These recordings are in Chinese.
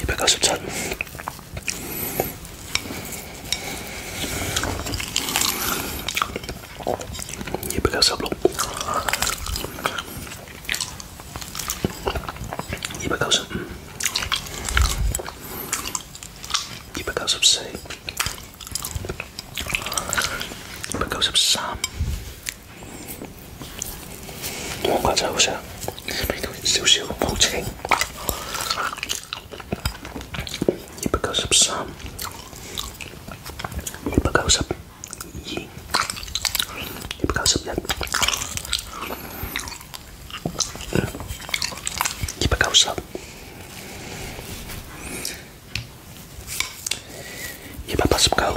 一百九十三，一百九十六，一百九十，一百九十四，一百九十三。我瓜真好食，味道少少，好清。一百九十三，一百九十二，一百九十一，一百九十，一百八十九。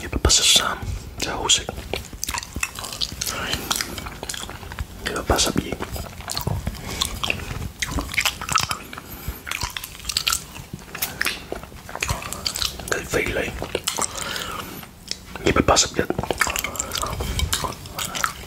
一百八十三，真係好食。一百八十二，雞飛嘞。一百八十一。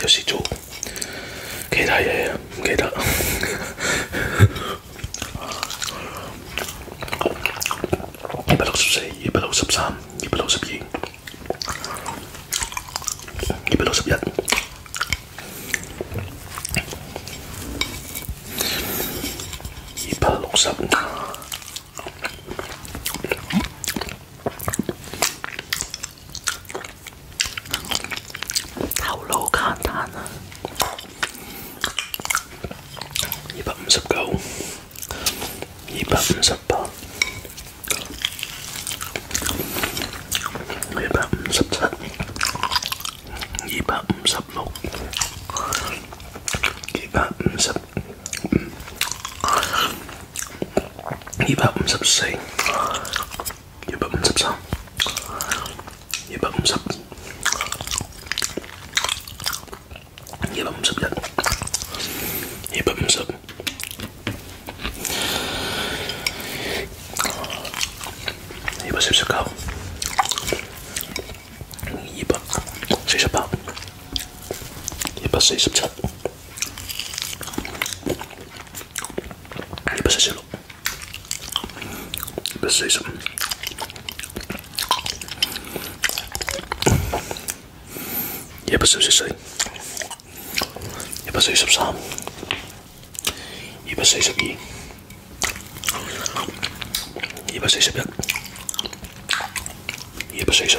有事做，其他嘢唔記得。一百六十四，一百六十三，一百六十二，一百六十一，一百六十五。好老簡單啊！二百五十九，二百五十八，二百五十七，二百五十六，二百五十。二百五十四，二百五十三，二百五十，二百五十一，二百五十，二百四十九，二百四十八，一百四十七。一百四十，一百四十，一百四十四，一百四十三，一百四十二，一百四十一，一百四十。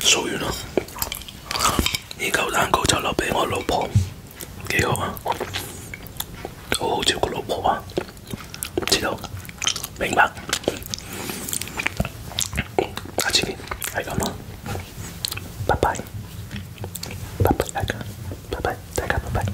数完啦，呢嚿蛋糕就留俾我老婆，几好啊！好好照顾老婆啊，知道明白。下次系拜拜，拜拜大家，拜拜拜拜拜拜